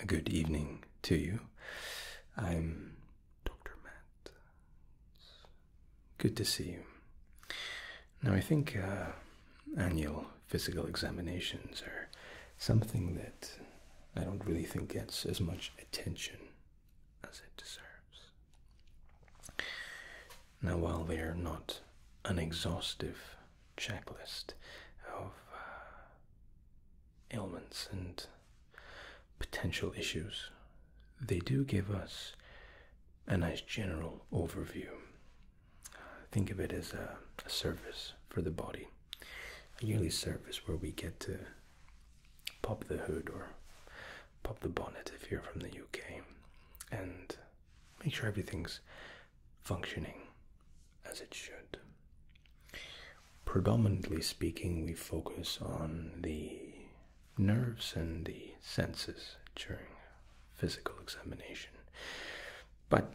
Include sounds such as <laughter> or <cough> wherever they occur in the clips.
a good evening to you. I'm Dr. Matt. Good to see you. Now, I think uh, annual physical examinations are something that I don't really think gets as much attention as it deserves. Now, while they are not an exhaustive checklist of uh, ailments and potential issues, they do give us a nice general overview. think of it as a service for the body, a yearly service where we get to pop the hood or pop the bonnet if you're from the UK and make sure everything's functioning as it should. Predominantly speaking, we focus on the nerves and the senses during physical examination, but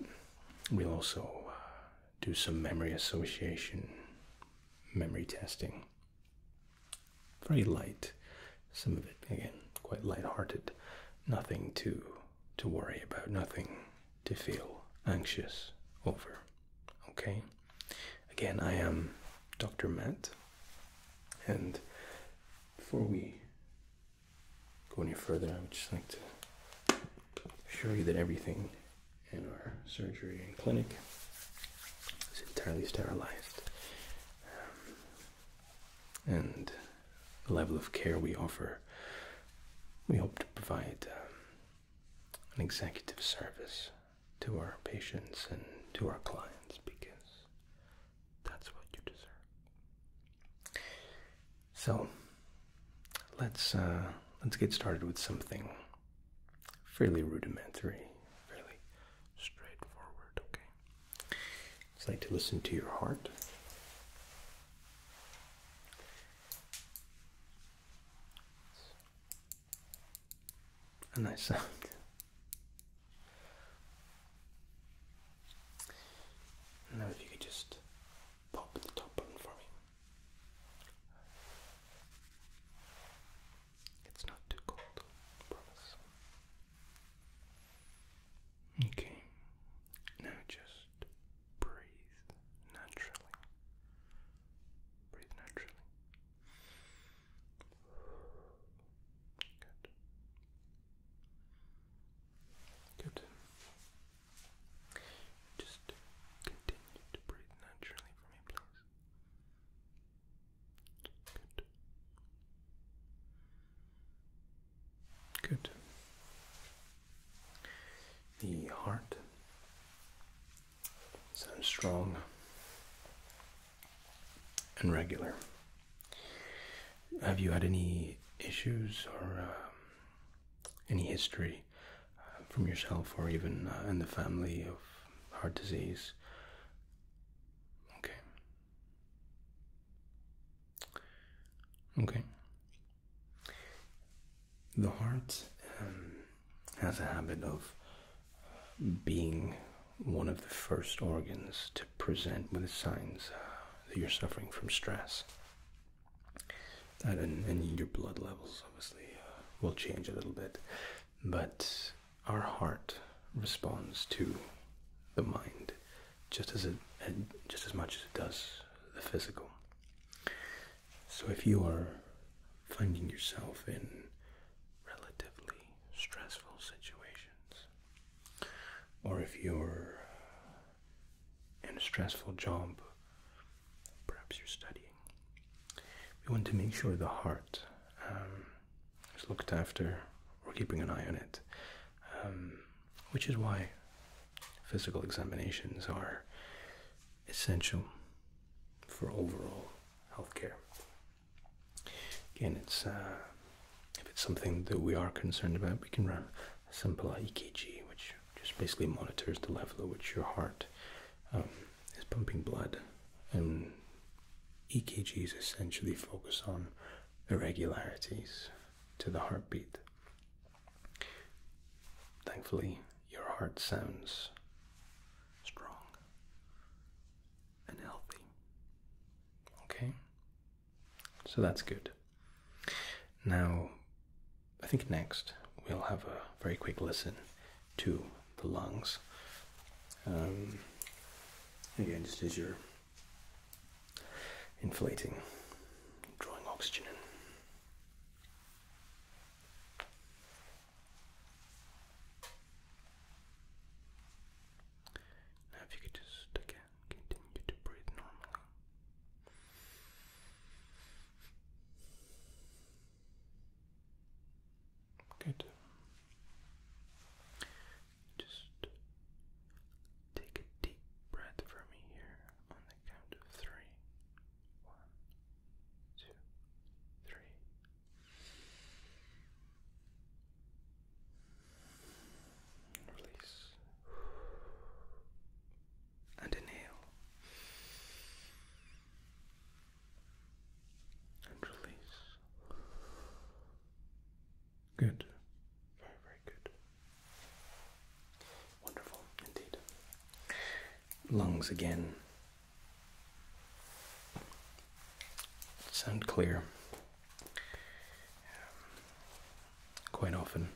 we'll also uh, do some memory association, memory testing. Very light, some of it again quite light-hearted, nothing too to worry about, nothing to feel anxious over. Okay? Again, I am Dr. Matt, and before we go any further, I would just like to assure you that everything in our surgery and clinic is entirely sterilized. Um, and the level of care we offer, we hope to provide um, an executive service to our patients and to our clients because that's what you deserve. So let's uh, let's get started with something fairly rudimentary, fairly straightforward. Okay, it's like to listen to your heart a nice sound. Now, if you could just pop the top button for me. It's not too cold, I promise. Okay, now just just breathe naturally. Breathe naturally. Good. Good. Just continue to breathe naturally for me, please. Good. Good. The heart sounds strong and regular. Have you had any issues or uh, any history uh, from yourself or even uh, in the family of heart disease? Okay. Okay. The heart um, has a habit of being one of the first organs to present with signs uh, that you're suffering from stress. and, your blood levels obviously uh, will change a little bit, but our heart responds to the mind just as it just as much as it does the physical. So if you are finding yourself in relatively stressful situations, or if you're in a stressful job, perhaps you're studying. We want to make sure the heart um, is looked after. or keeping an eye on it. Um, which is why physical examinations are essential for overall healthcare. Again, it's uh, if it's something that we are concerned about, we can run a simple EKG, which just basically monitors the level at which your heart um, is pumping blood. And EKGs essentially focus on irregularities to the heartbeat. Thankfully, your heart sounds strong and healthy. Okay? So that's good. Now, I think next we'll have a very quick listen to the lungs. Um, again, just as your inflating, drawing oxygen in. Now, if you could just again continue to breathe normally. Good. Just take a deep breath from me here on the count of three. One, Release and inhale and release. Good, very, very good. Wonderful indeed. Lungs again. Sound clear. quite often,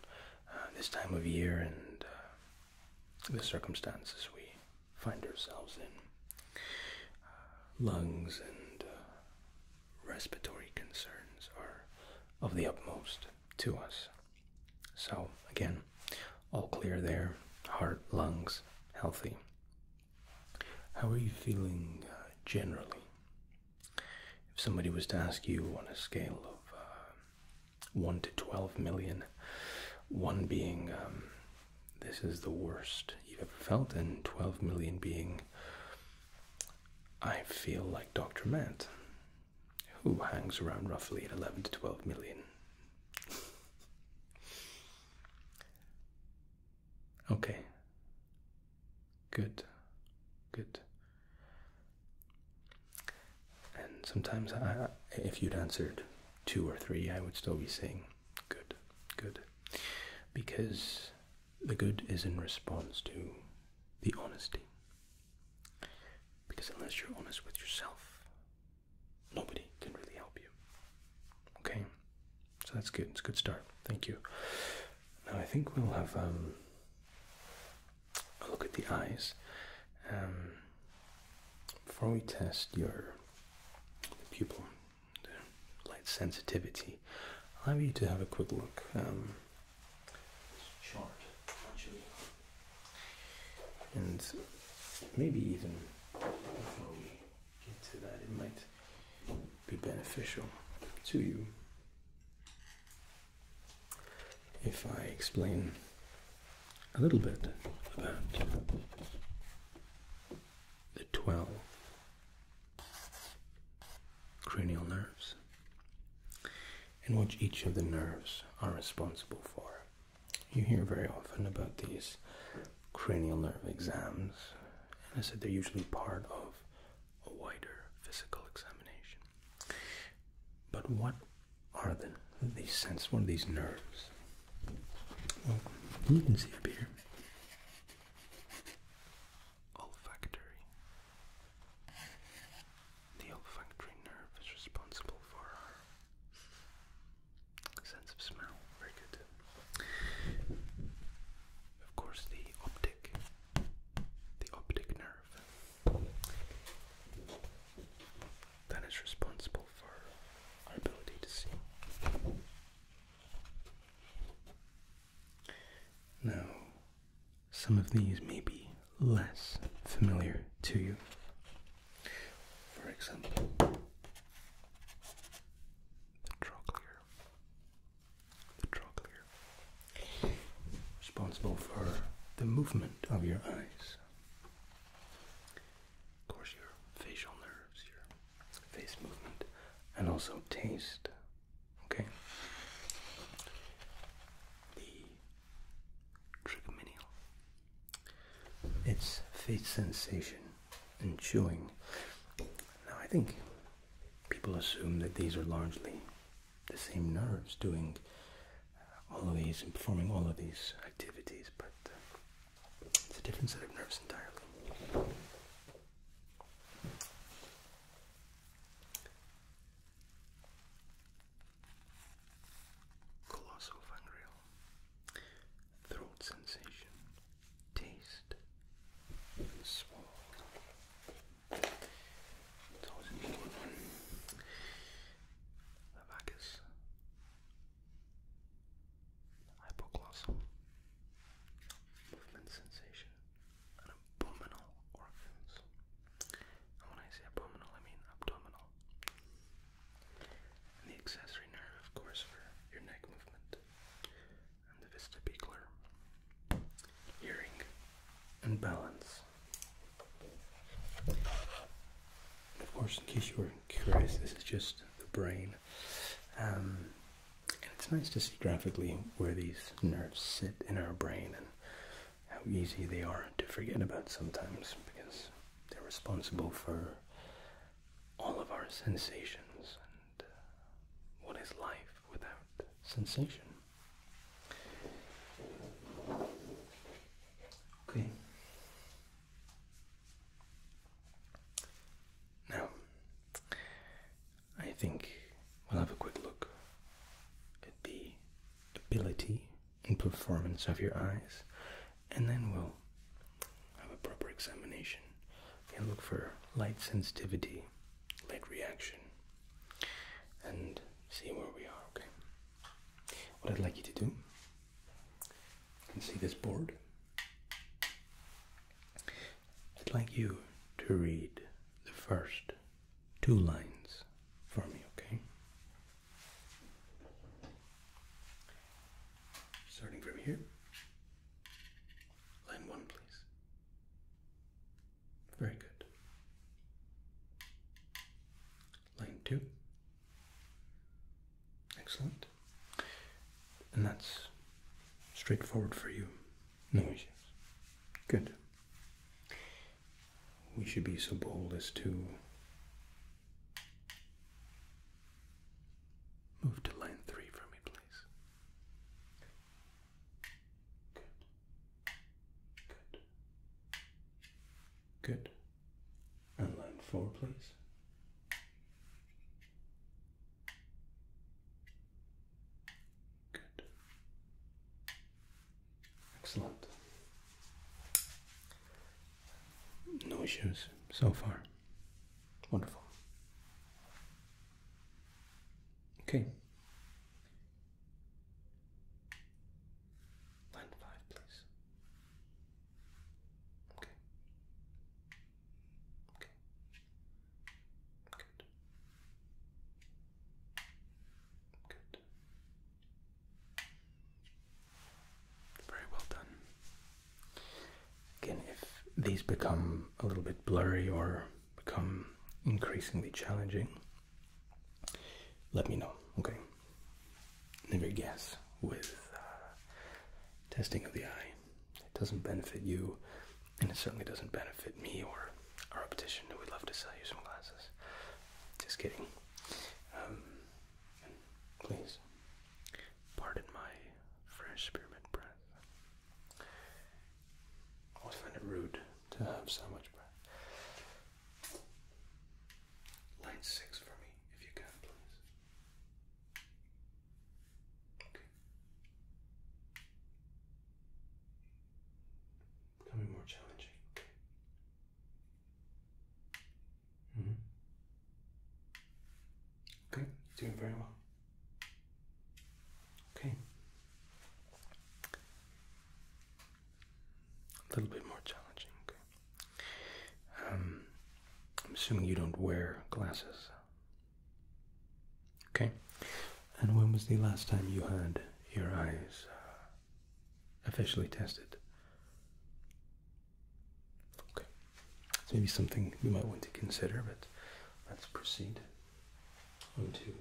uh, this time of year and uh, the circumstances we find ourselves in, uh, lungs and respiratory concerns are of the utmost to us. So, again, all clear there, heart, lungs, healthy. How are you feeling uh, generally? If somebody was to ask you on a scale of uh, 1 to twelve million, one being um, this is the worst you've ever felt, and 12 million being I feel like Dr. Matt, who hangs around roughly at 11 to 12 million. okay. Good. Good. And sometimes, if you'd answered two or three, I would still be saying good, good. Because the good is in response to the honesty. Because unless you're honest with yourself, nobody can really help you. Okay? So that's good. It's a good start. Thank you. Now I think we'll have um, a look at the eyes. Um, before we test your pupil, light sensitivity, I'll have you to have a quick look. Um, and maybe even before we get to that, it might be beneficial to you if I explain a little bit about the 12 cranial nerves and what each of the nerves are responsible for. You hear very often about these cranial nerve exams, and I said they're usually part of a wider physical examination. But what are the these sense? What are these nerves? Well, you can see up here olfactory, the olfactory nerve is responsible for our sense of smell. Very good. Of course, the optic, the optic nerve, that is responsible for our ability to see. Now, some of these may be less familiar to you. For example, the trochlear. The trochlear. Responsible for the movement of your eyes. Of course, your facial nerves, your face movement, and also taste Okay. The trigeminal. It's faith sensation and chewing. Now I think people assume that these are largely the same nerves doing all of these and performing all of these activities, but uh, it's a different set of nerves entirely. Colossal Fungrail. Throat sensation. Taste. And It's always a good one. Hypoglossal. Movement sensation and abdominal organs. when I say abdominal, I mean abdominal. the accessory nerve, of course, for your neck movement. And the vestibular, hearing, and balance. of course, in case you were curious, this is just the brain. Um, and it's nice to see graphically where these nerves sit in our brain how easy they are to forget about sometimes because they're responsible for all of our sensations and uh, what is life without sensation? Okay. Now, I think we'll have a quick look at the ability and performance of your eyes, and then we'll have a proper examination and look for light sensitivity, light reaction, and see where we are, okay? What I'd like you to do, you can see this board. I'd like you to read the first two lines for me, okay? Starting from here. Line one, please. Very good. Line two. Excellent. And that's straightforward for you. No issues. Good we should be so bold as to move to line three for me, please. Good. Good. Good. And line four, please. Good. Excellent. No issues so far. Wonderful. Okay. Line five, please. Okay. Okay. Good. Good. Very well done. Again, if these become a little bit blurry or become increasingly challenging, let me know, okay? Never guess with uh, testing of the eye. It doesn't benefit you and it certainly doesn't benefit me or our optician we would love to sell you some glasses. Just kidding. Um, please pardon my fresh spearmint breath. I always find it rude to have so much breath. Line six for me, if you can, please. Okay becoming more challenging. Mm -hmm. Okay, doing very well. Okay. A little bit more challenging. Okay. Um, I'm assuming you don't wear glasses. Okay. And when was the last time you had your eyes uh, officially tested? Okay. It's maybe something you might want to consider, but let's proceed on to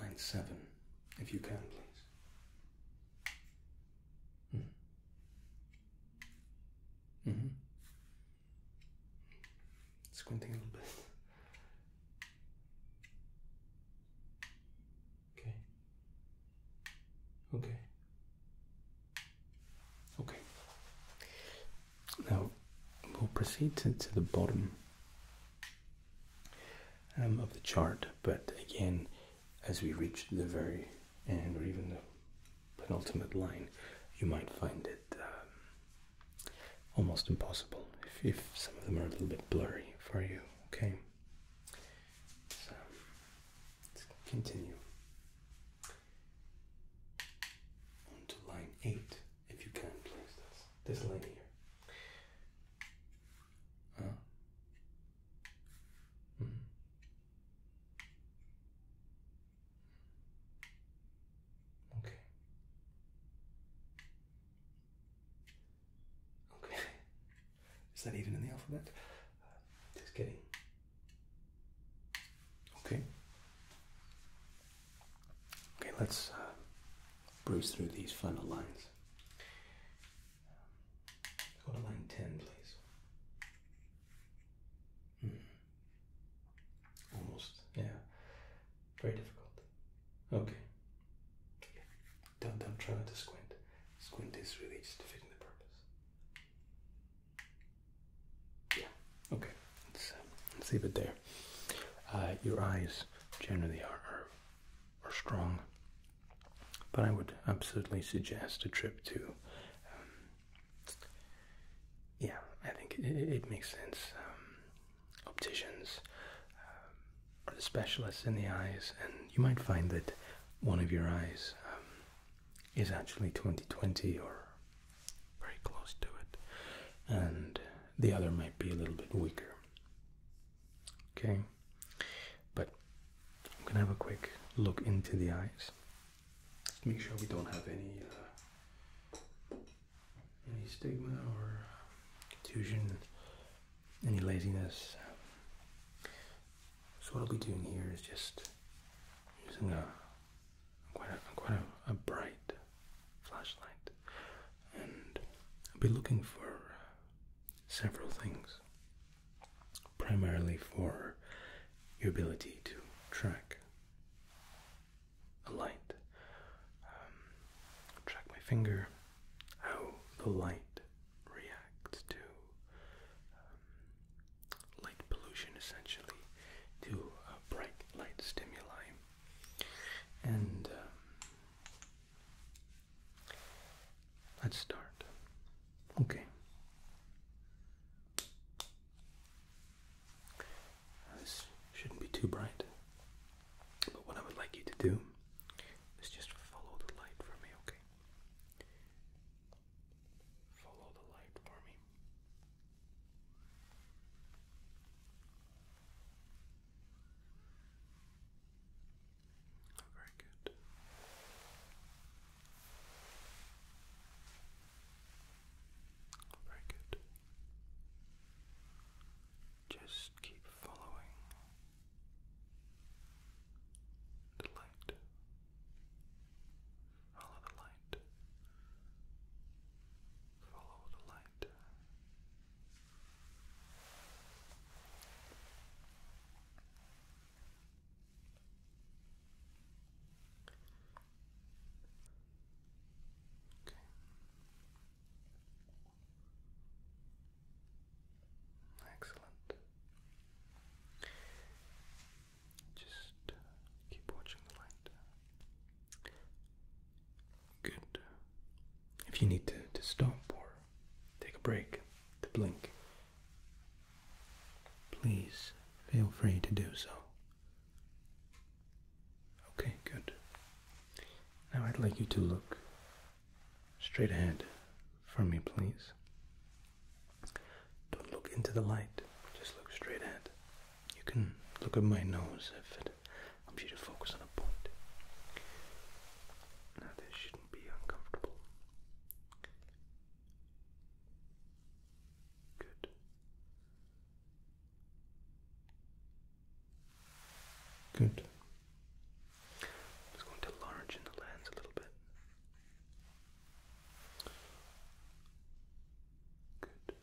line seven, if you can, please. Hmm. Mm-hmm. Squinting a little bit. Okay. Okay. Okay. Now we'll proceed to, the bottom um, of the chart, but again, as we reach the very end or even the penultimate line, you might find it um, almost impossible if, some of them are a little bit blurry for you. Okay, so let's continue on to line 8 if you can, please. That's this line here. Uh, mm. Okay. Okay. Is that even in the alphabet? Uh, just kidding. Okay. Okay, let's uh, through these final lines. Go to line 10, please. Hmm. Almost, yeah. Very difficult. Okay. Don't don't try not to squint. Squint is really just fitting the purpose. Yeah. Okay. Let's, um, let's leave it there. Uh, your eyes generally are, are strong, but I would absolutely suggest a trip to. Um, yeah, I think it, makes sense. Um, opticians um, the specialists in the eyes, and you might find that one of your eyes um, is actually 20/20 or very close to it, and the other might be a little bit weaker. Okay, but I'm gonna have a quick look into the eyes. Make sure we don't have any uh, any stigma or contusion, any laziness. So what I'll be doing here is just using a quite a quite a, bright flashlight, and I'll be looking for several things. Primarily for your ability to track a light. Um, track my finger, how the light reacts to um, light pollution, essentially, to bright light stimuli. And um, let's start. Okay this shouldn't be too bright. But what I would like you to do is just follow the light for me, okay? Follow the light for me. very good. Very good. Just keep following the light. Follow the light. Follow the light. Okay. Excellent. Just uh, keep watching the light. Good. If you need to, to stop or take a break to blink, please feel free to do so. Okay, good. Now I'd like you to look straight ahead for me, please. Don't look into the light, just look straight ahead. You can look at my nose if it helps you to focus on a point. Now, this shouldn't be uncomfortable. Good. Good. I'm just going to large the lens a little bit. Good.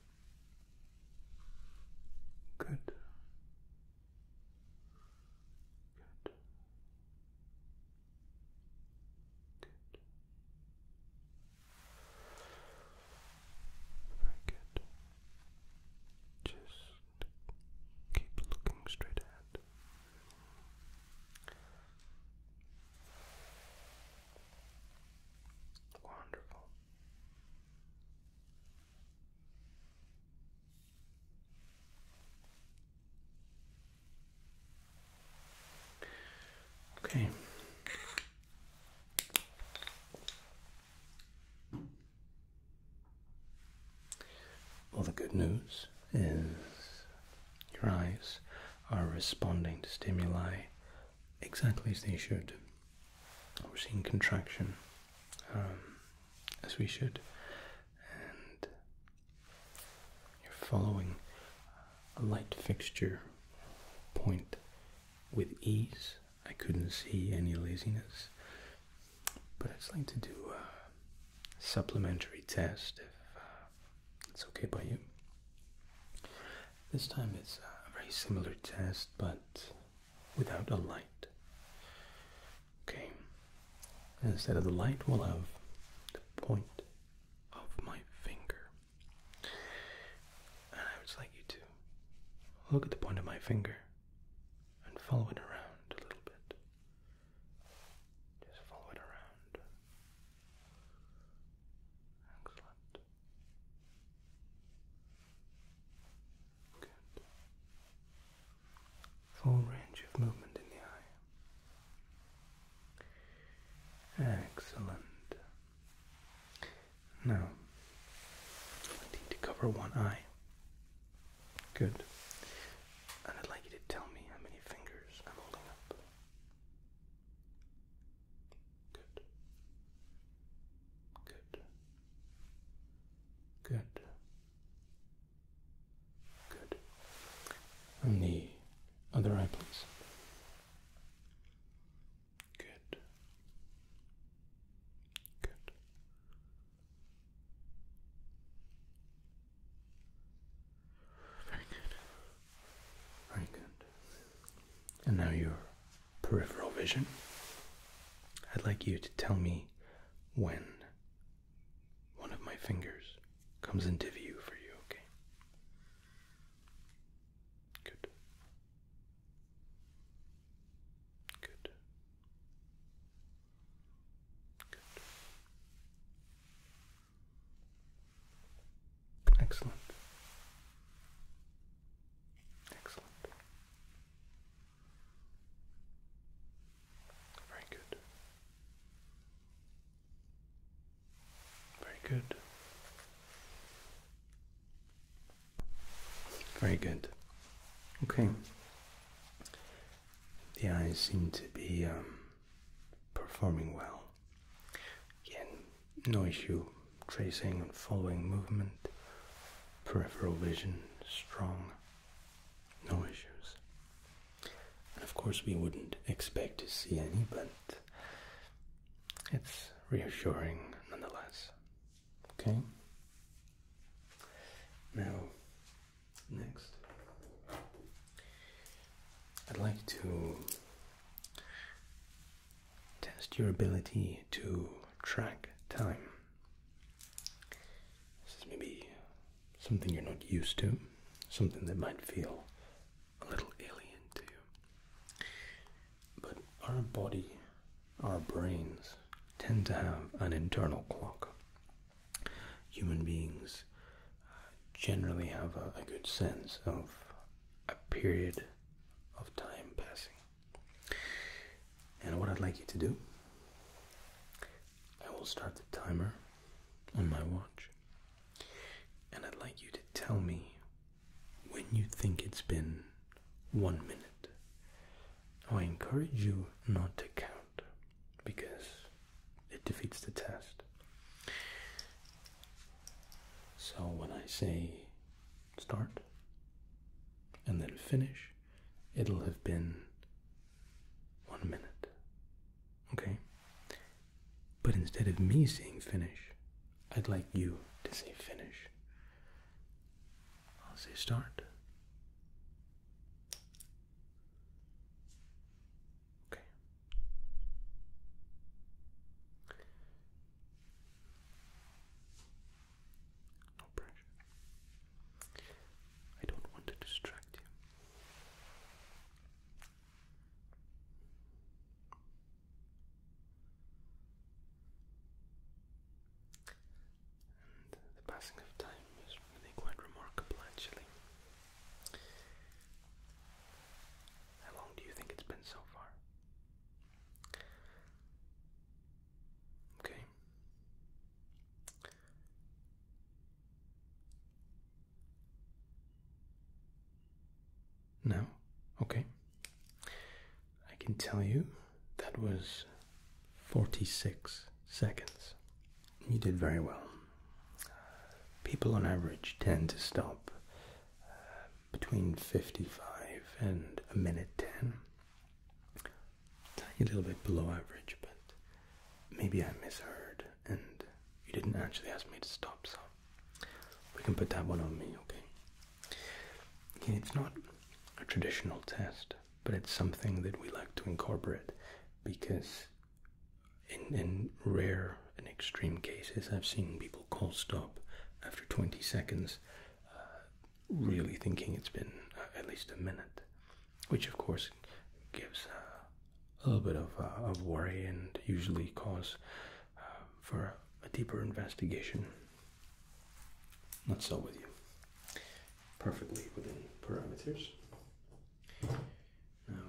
Good. Good. Good. Very good. Just keep looking straight ahead. Wonderful. Okay. Well, the good news is your eyes are responding to stimuli exactly as they should. We're seeing contraction um, as we should, and you're following a light fixture point with ease I couldn't see any laziness. But I'd like to do a supplementary test if uh, it's okay by you. This time it's a very similar test but without a light. Okay, instead of the light, we'll have the point of my finger. And I would like you to look at the point of my finger and follow it around a little bit. Just follow it around. Excellent. Good. Full range of movement in the eye. Excellent. No, I need to cover one eye. Good. And I'd like you to tell me how many fingers I'm holding up. Good. Good. Good. Good. And the other eye, please. Good. Good. Very good. Very good. And now your peripheral vision. I'd like you to tell me when one of my fingers comes into view for you, okay? Good. Good. Good. Excellent. Excellent. Very good. Very good. Very good. Okay. The eyes seem to be um, performing well. Again, no issue tracing and following movement. Peripheral vision strong. No issues. of course, we wouldn't expect to see any, but it's reassuring nonetheless. Okay. Now, next, I'd like to test your ability to track time. This is maybe something you're not used to, something that might feel a little alien to you. But our body, our brains, tend to have an internal clock. Human beings uh, generally have a, good sense of a period of time passing. And what I'd like you to do, I will start the timer on my watch, and I'd like you to tell me when you think it's been one minute. I encourage you not to count because it defeats the test. So when I say start and then finish, it'll have been one minute. Okay? But instead of me saying finish, I'd like you to say finish. I'll say start. Okay. No pressure. I don't want to distract you. And the passing of time is really quite remarkable actually. How long do you think it's been so far? Okay. No? Okay. I can tell you that was 46 seconds. You did very well. People on average tend to stop uh, between 55 and a minute 10. A little bit below average, but maybe I misheard and you didn't actually ask me to stop, so we can put that one on me, okay? It's not a traditional test, but it's something that we like to incorporate because in, rare and extreme cases, I've seen people call stop after 20 seconds, uh, really thinking it's been uh, at least a minute, which of course gives uh, a little bit of worry and usually cause um, for a deeper investigation. Not so with you. Perfectly within parameters. Now,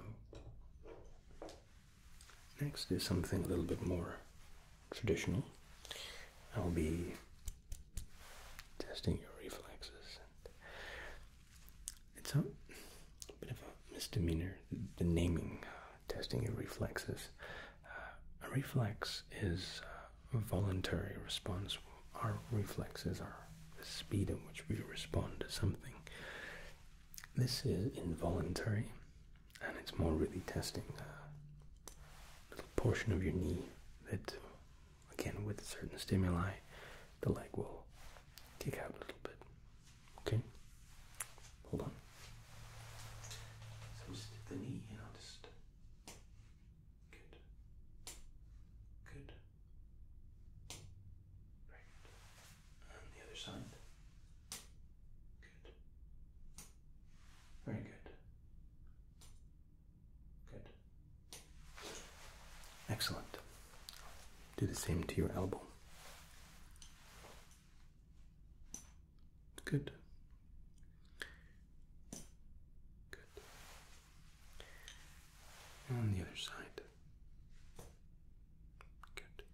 next is something a little bit more traditional. I'll be testing your reflexes. It's a bit of a misdemeanor, the naming uh, testing your reflexes. Uh, a reflex is uh, a voluntary response. Our reflexes are the speed at which we respond to something. This is involuntary, and it's more really testing a little portion of your knee that, again, with certain stimuli, the leg will kick out a little bit. Okay? Hold on. So just the knee, you know, just good, good. Right. And the other side. Good. Very good. Good. Excellent. Do the same to your elbow. Good. Good. on the other side. Good.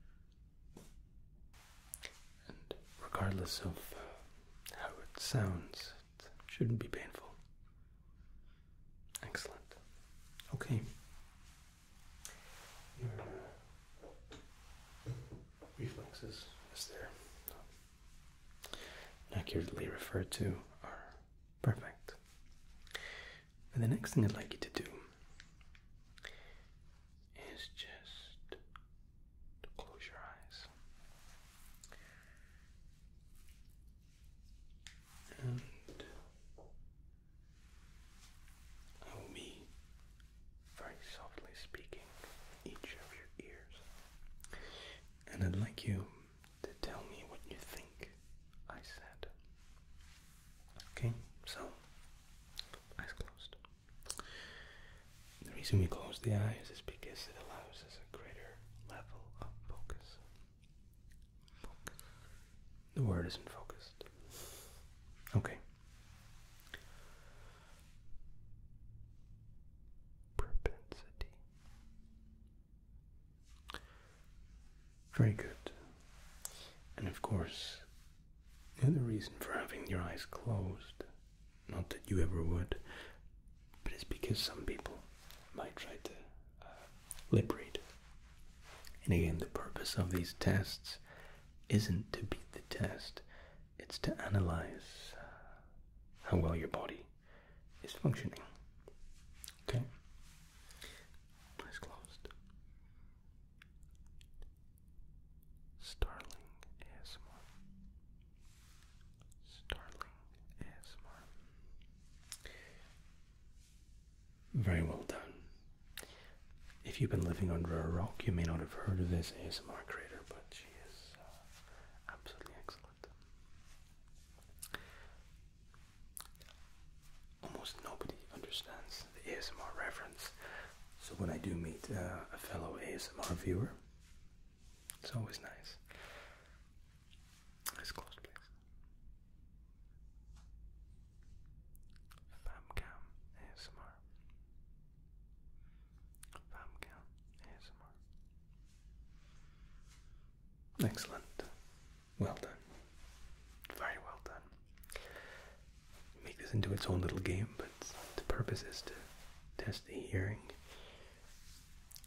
And regardless of how it sounds, it shouldn't be painful. Excellent. Okay reflexes as they're accurately referred to are perfect. And the next thing I'd like you to do is just to close your eyes. And I very softly speaking each of your ears. And I'd like you to tell me what you think I said. Okay, so eyes closed. The reason we close the eyes is because it allows us a greater level of focus. focus. The word isn't focused. Okay, Propensity. Very good. And of course, the other reason for having your eyes closed, not that you ever would, but it's because some people might try to uh, lip read. And again, the purpose of these tests isn't to beat the test, it's to analyze how well your body is functioning. Okay? Eyes closed. Starling ASMR. Starling ASMR. Very well done. If you've been living under a rock, you may not have heard of this ASMR creator, but she is uh, absolutely excellent. Almost nobody understands the ASMR reference, so when I do meet uh, a fellow ASMR viewer, it's always nice. let close, please. Famcam ASMR. Famcam Excellent. Well done. Very well done. Make this into its own little game, but the purpose is to test the hearing.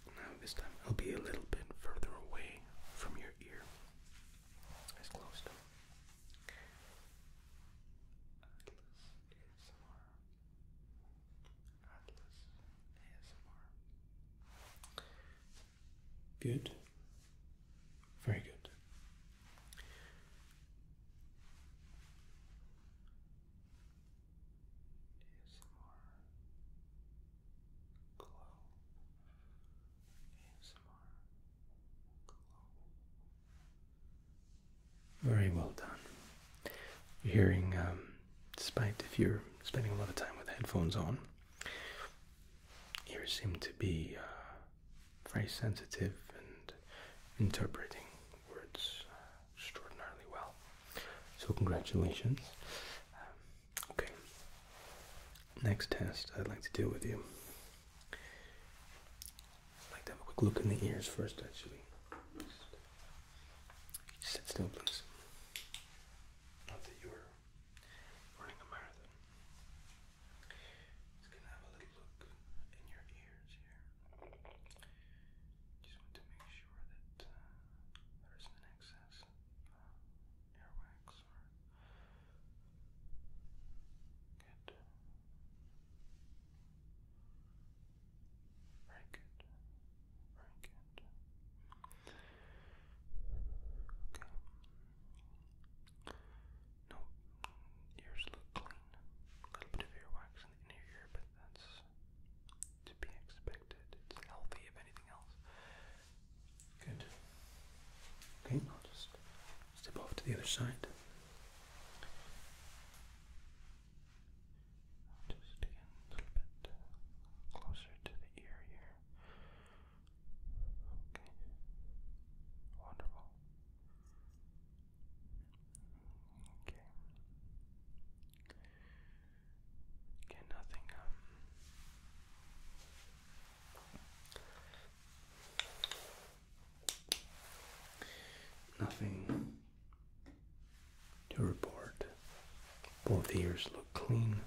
Now, this time I'll be a little bit further away from your ear. As close Atlas ASMR. Atlas ASMR. Good. Very good. ASMR glow ASMR glow very well done. Your hearing, um, despite if you're spending a lot of time with headphones on, ears seem to be uh, very sensitive and interpreting words uh, extraordinarily well. So congratulations. Um, okay. Next test I'd like to deal with you I'd like to have a quick look in the ears first, actually. sit still, please. Not that you were running a marathon. Just gonna have a little look in your ears here. Just want to make sure that uh, there isn't excess of uh, or very good. Very good. Okay. No, ears look clean. A little bit of earwax in the inner ear, but that's to be expected. It's healthy, if anything else. Good. Okay, I'll just step off to the other side. Just again, a little bit closer to the ear here. Okay. Wonderful. Okay. Again, nothing. Um, Nothing to report. Both ears look clean.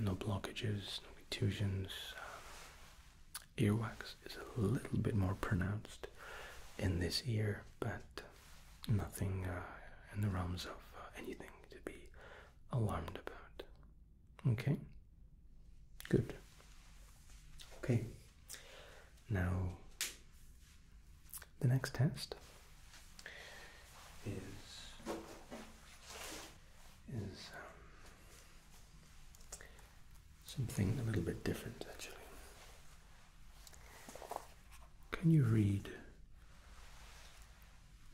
No blockages, no contusions. Um, earwax is a little bit more pronounced in this ear, but nothing uh, in the realms of uh, anything to be alarmed about. Okay, good. Okay, now the next test is is um, something a little bit different actually. Can you read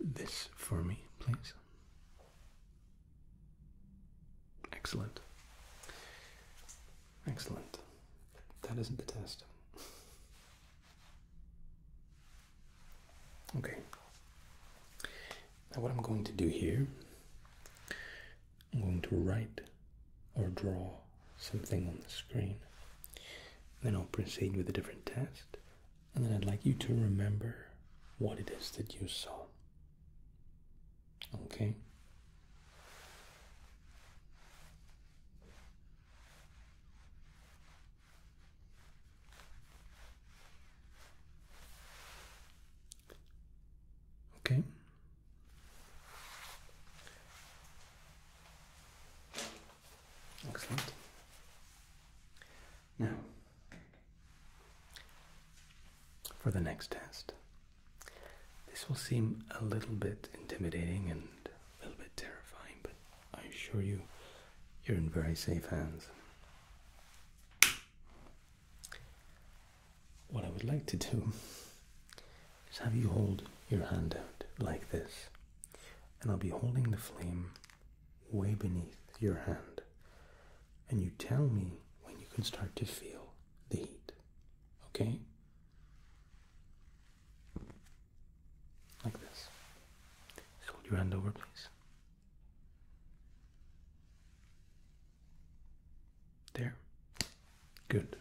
this for me, please? Excellent. Excellent. That isn't the test. Okay. Now, what I'm going to do here, I'm going to write or draw something on the screen. Then I'll proceed with a different test. And then I'd like you to remember what it is that you saw. Okay. Okay. Excellent. Now for the next test. This will seem a little bit intimidating and a little bit terrifying, but I assure you, you're in very safe hands. What I would like to do is have you hold your hand out like this, and I'll be holding the flame way beneath your hand and you tell me when you can start to feel the heat. Okay? Like this. hold your hand over, please. There. Good.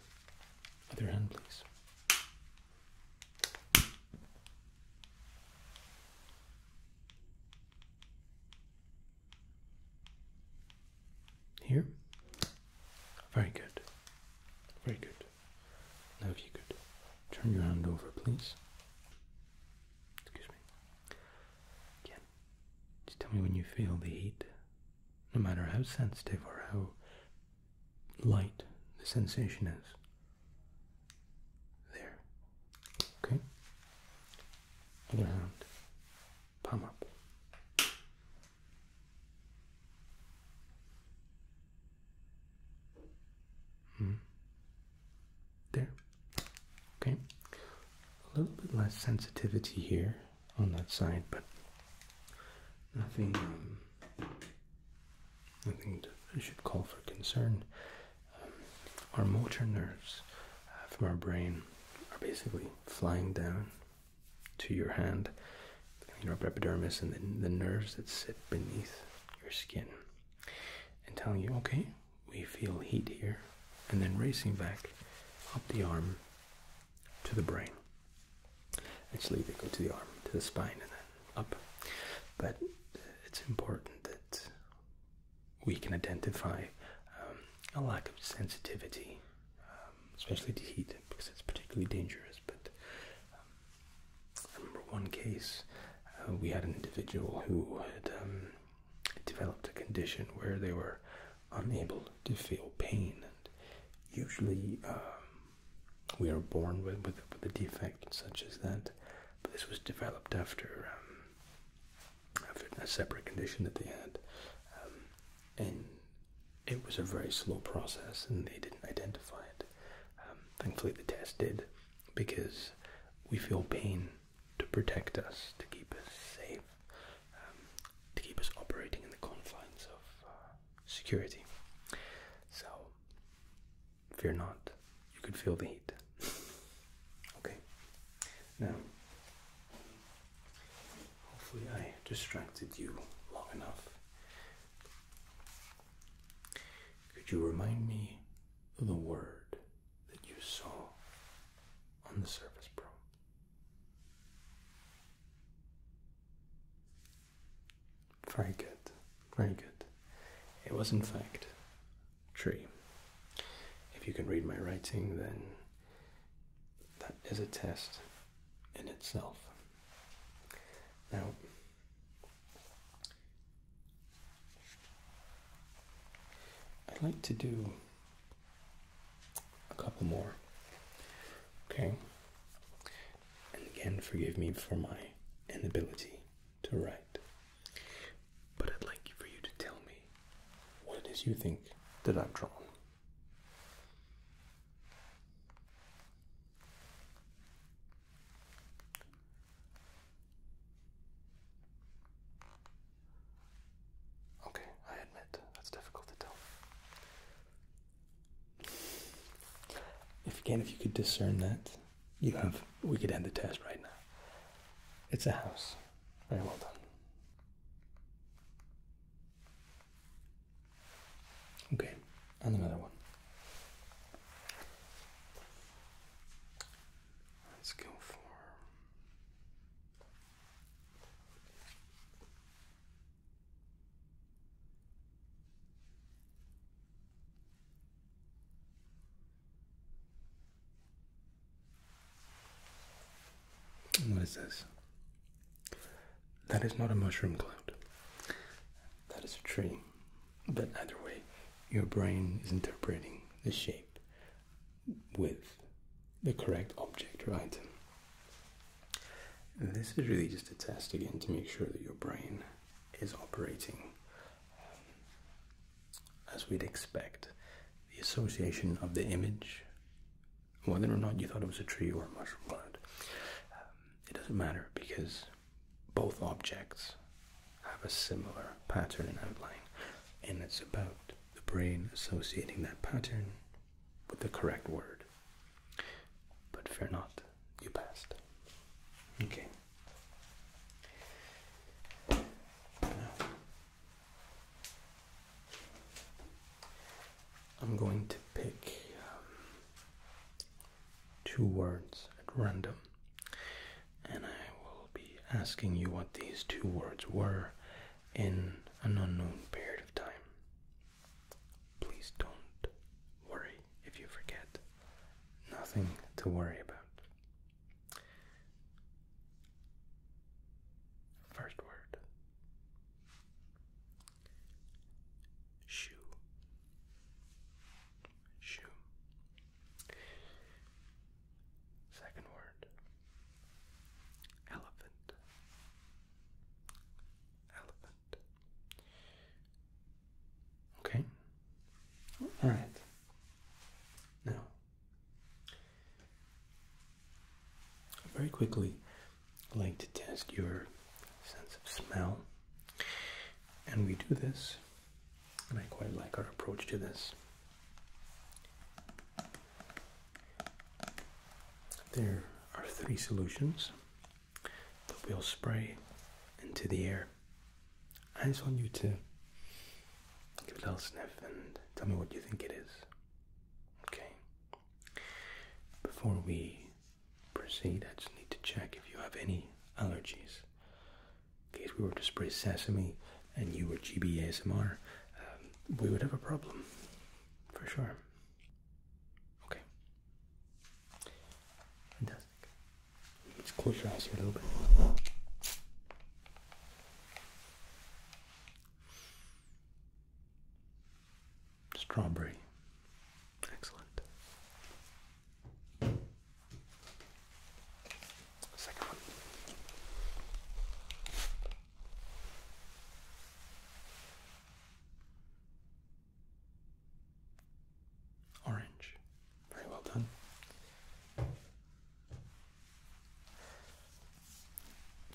Other hand, please. Here? Very good. Very good. Now, if you could turn your hand over, please. Excuse me. Again, just tell me when you feel the heat, no matter how sensitive or how light the sensation is. There. Okay? Other hand palm up. Mm. There. Okay. A little bit less sensitivity here on that side, but nothing, um, nothing to, I should call for concern. Um, our motor nerves from our brain are basically flying down to your hand, your epidermis, and then the nerves that sit beneath your skin, and telling you, okay, we feel heat here, and then racing back up the arm to the brain. Actually, they go to the arm, to the spine, and then up. But it's important that we can identify um, a lack of sensitivity, um, especially to heat, because it's particularly dangerous. But um, one case uh, we had an individual who had um, developed a condition where they were unable to feel pain, and usually we are born with, with, with a defect such as that. But this was developed after a separate condition that they had, um, and it was a very slow process, and they didn't identify it. Um, thankfully, the test did, because we feel pain to protect us, to keep us safe, um, to keep us operating in the confines of uh, security. So, fear not, you can feel the heat. <laughs> Okay. Now, hopefully, I distracted you long enough. Could you remind me of the word that you saw on the surface probe? Very good, very good. It was, in fact, tree. If you can read my writing, then that is a test in itself. Now, I'd like to do a couple more. Okay? And again, forgive me for my inability to write. But I'd like for you to tell me what it is you think that I've drawn. Okay, I admit that's difficult to tell. If again, if you could discern that, you have. We could end the test right now. It's a house. Very well done. Okay, and another one. Let's go for. What is this? That is not a mushroom cloud. That is a tree. But either way, your brain is interpreting the shape with the correct object or item. This is really just a test again to make sure that your brain is operating um, as we'd expect, the association of the image, whether or not you thought it was a tree or a mushroom plant, um, it doesn't matter because both objects have a similar pattern and outline, and it's about the brain associating that pattern with the correct word. But fear not, you passed. Okay. I'm going to pick um, two words at random, and I will be asking you what these two words were in an unknown period of time. Please don't worry if you forget. Nothing to worry about. First word shoe. Shoe. Second word elephant. Elephant. Okay. All right. Now, very quickly, I'd like to test your sense of smell. And we do this, and I quite like our approach to this. There are three solutions that we'll spray into the air. Eyes on you two. Give it a little sniff and tell me what you think it is. Okay. Before we proceed, I just need to check if you have any allergies. In case we were to spray sesame and you were GBASMR, um, we would have a problem. For sure. Okay. Fantastic. Let's close your eyes here a little bit. Strawberry. Excellent. Second one. Orange. Very well done.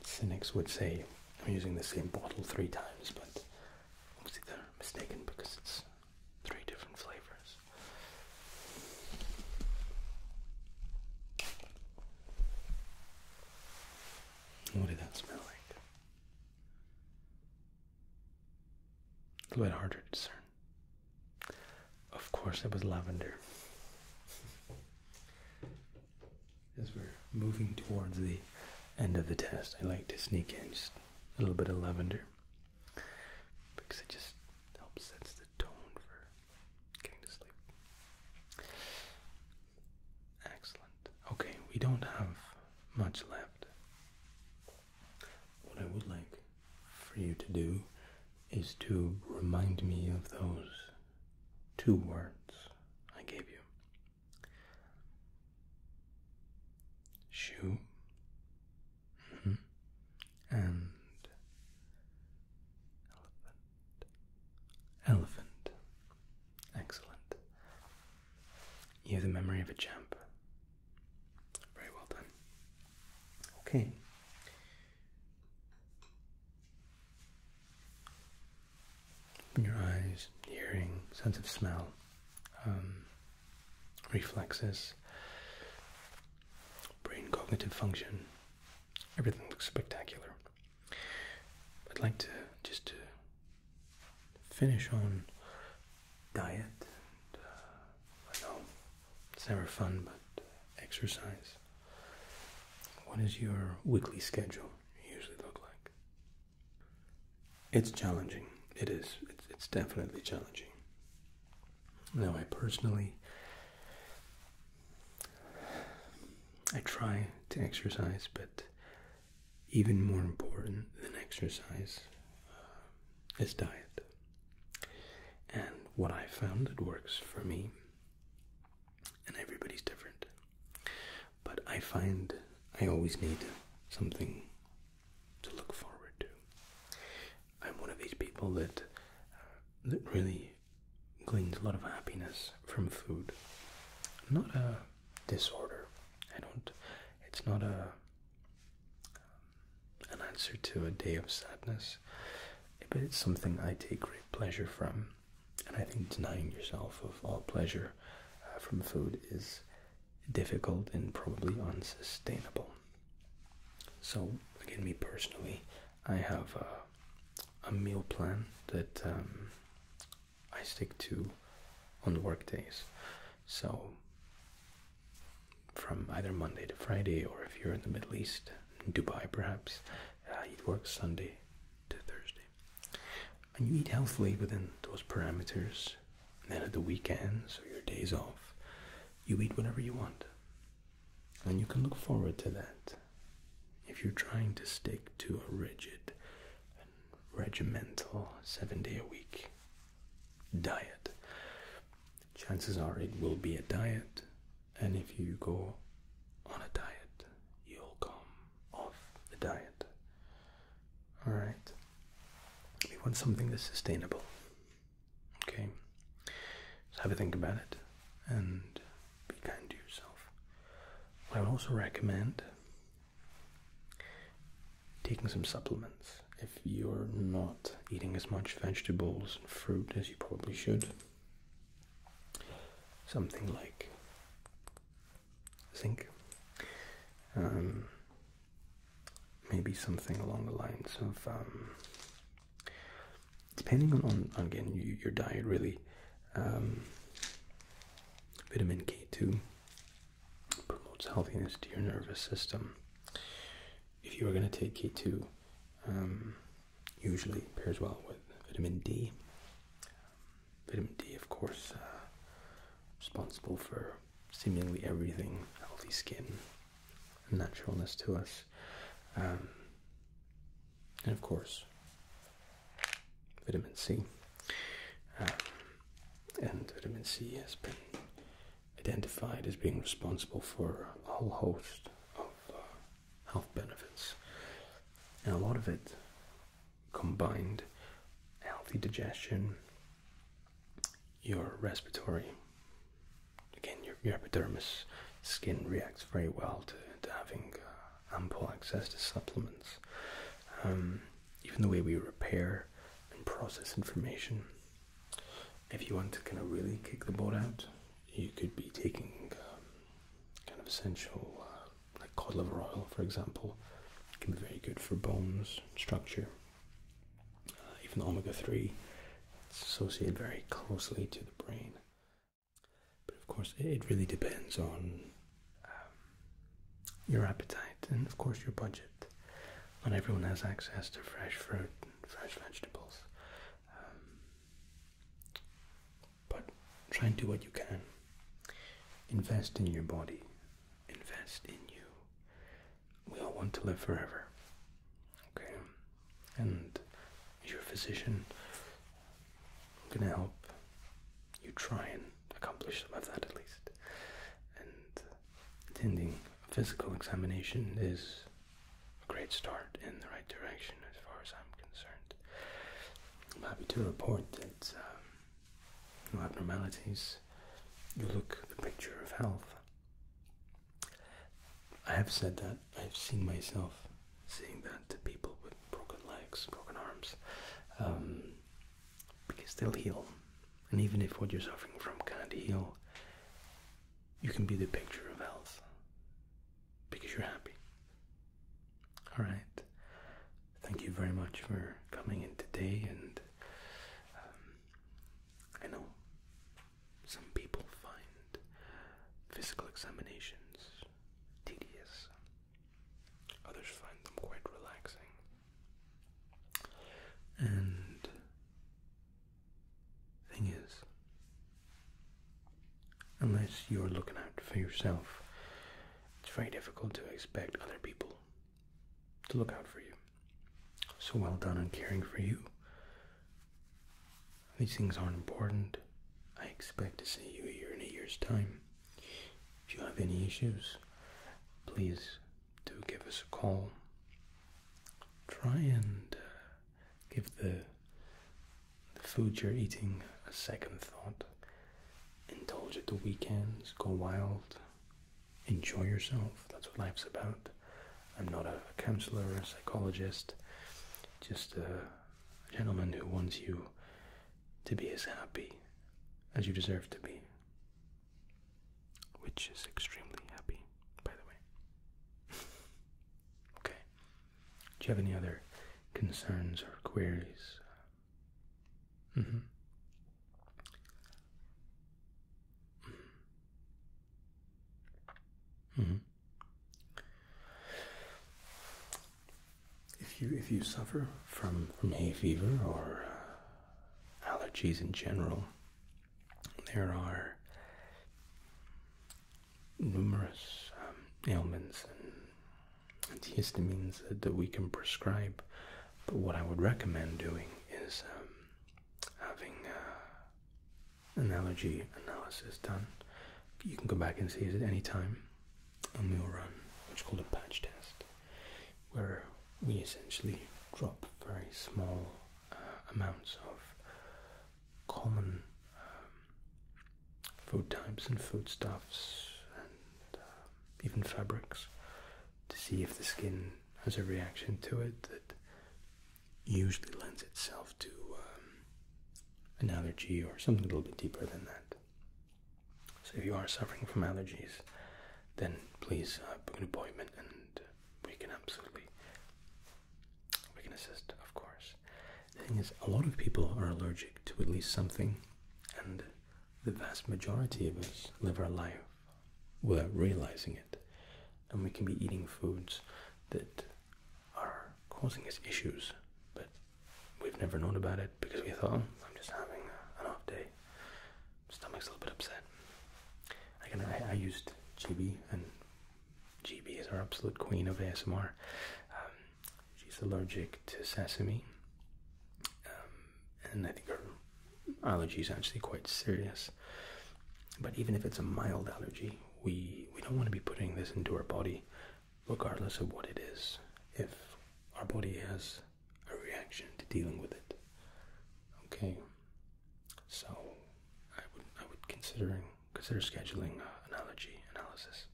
Cynics would say I'm using the same bottle three times, but obviously they're mistaken because it's three different flavors. What did that smell like? A little bit harder to discern. Of course, it was lavender. As we're moving towards the end of the test, I like to sneak in just a little bit of lavender because it just helps sets the tone for getting to sleep. Excellent. Okay, we don't have much left. What I would like for you to do is to remind me of those two words I gave you shoe mm-hmm, and elephant. Elephant. Excellent. You have the memory of a champ. Very well done. Okay your eyes, hearing, sense of smell, um, reflexes, brain cognitive function. Everything looks spectacular. I'd like to just finish on diet. And, uh, it's never fun, but exercise. What does your weekly schedule usually look like? It's challenging. It is. It's, definitely challenging. Now, I personally, I try to exercise, but even more important than exercise uh, is diet. And what I found that works for me, and everybody's different, but I find I always need something to look forward to. I'm one of these people that uh, that really gleans a lot of happiness from food. Not a disorder. I don't. It's not a. Um, an answer to a day of sadness, but it's something I take great pleasure from. And I think denying yourself of all pleasure uh, from food is difficult and probably unsustainable. So, again, me personally, I have a, meal plan that um, I stick to on workdays. So, from either Monday to Friday, or if you're in the Middle East, Dubai perhaps, uh, you'd work Sunday to Thursday. And you eat healthily within those parameters. then at the weekends or your days off, you eat whatever you want. And you can look forward to that. If you're trying to stick to a rigid regimental seven day a week diet, chances are it will be a diet and if you go on a diet, you'll come off the diet. Alright? We want something that's sustainable. Okay? So have a think about it and be kind to yourself. I would also recommend taking some supplements if you're not eating as much vegetables and fruit as you probably should something like zinc. Um, maybe something along the lines of, um, depending on, again your diet really, um, vitamin K2 promotes healthiness to your nervous system. If you are going to take K2, usually pairs well with vitamin D. Vitamin D, of course, uh, responsible for seemingly everything healthy skin, naturalness to us. Um, and of course, vitamin C. Um, and vitamin C has been identified as being responsible for a whole host of uh, health benefits. And a lot of it combined healthy digestion, your respiratory, again, your, epidermis skin reacts very well to, having uh, ample access to supplements. Um, even the way we repair and process information if you want to kind of really kick the boat out, you could be taking um, kind of essential uh, like cod liver oil, for example. It can be very good for bones structure. Uh, even omega three, it's associated very closely to the brain. But of course, it really depends on um, your appetite and of course your budget. Not everyone has access to fresh fruit and fresh vegetables. Um, but try and do what you can. Invest in your body. Invest in you. We all want to live forever. Okay? And your physician i gonna help you try and accomplish some of that at least. And attending physical examination is a great start in the right direction as far as I'm concerned. I'm happy to report that um, no abnormalities. You look the picture of health. I have said that. I've seen myself saying that to people with broken legs, broken arms, um, because they'll heal. And even if what you're suffering from can't heal, you can be the picture of health because you're happy. All right. Thank you very much for coming in today. And um, I know some people find physical examinations tedious, others find them quite relaxing. And Thing is, unless you're looking out for yourself, it's very difficult to expect other people to look out for you. So well done on caring for you. These things aren't important. I expect to see you here in a year's time. If you have any issues, please do give us a call. Try and uh, give the, food you're eating a second thought. Indulge at the weekends, go wild, enjoy yourself. That's what life's about. I'm not a counselor a psychologist, just a gentleman who wants you to be as happy as you deserve to be, which is extremely happy, by the way. <laughs> Okay. Do you have any other concerns or queries? Mm-hmm. Mm-hmm. Mm-hmm. If you if you suffer from from hay fever or uh, allergies in general, there are numerous um, ailments and antihistamines that, we can prescribe, but what I would recommend doing is um, having uh, an allergy analysis done. You can go back and see it at any time, and we will run what's called a patch test, where we essentially drop very small uh, amounts of common um, food types and foodstuffs and um, even fabrics to see if the skin has a reaction to it that usually lends itself to um, an allergy or something a little bit deeper than that. So if you are suffering from allergies, then please uh, book an appointment and we can absolutely we can assist, of course. The thing is, a lot of people are allergic to at least something, and the vast majority of us live our life without realizing it. And we can be eating foods that are causing us issues, but we've never known about it because we thought, oh, I'm just having an off day. Stomach's a little bit upset. I, can, I, I used GB and GB is our absolute queen of ASMR. Um, she's allergic to sesame, um, and I think her allergy is actually quite serious. But even if it's a mild allergy, we we don't want to be putting this into our body, regardless of what it is. If our body has a reaction to dealing with it, okay. So I would I would considering consider scheduling uh, an analysis.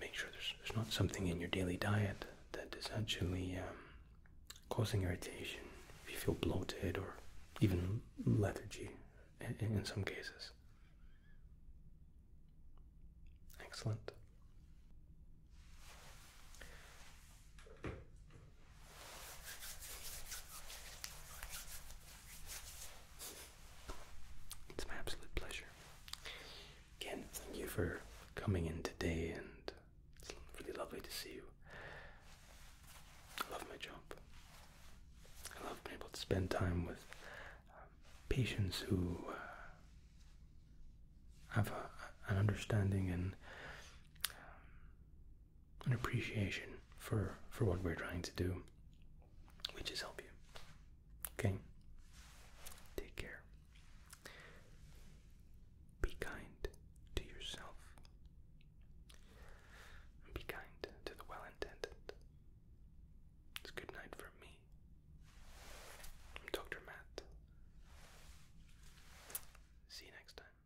Make sure there's there's not something in your daily diet that is actually um, causing irritation. If you feel bloated or even lethargy, in some cases. Excellent. It's my absolute pleasure. Again, thank you for coming in today, and it's really lovely to see you. I love my job. I love being able to spend time with um, patients who uh, have an understanding and um, an appreciation for for what we're trying to do, which is help you. Okay. Take care. Be kind to yourself. be kind to the well-intended. It's good night from me. I'm Dr. Matt. See you next time.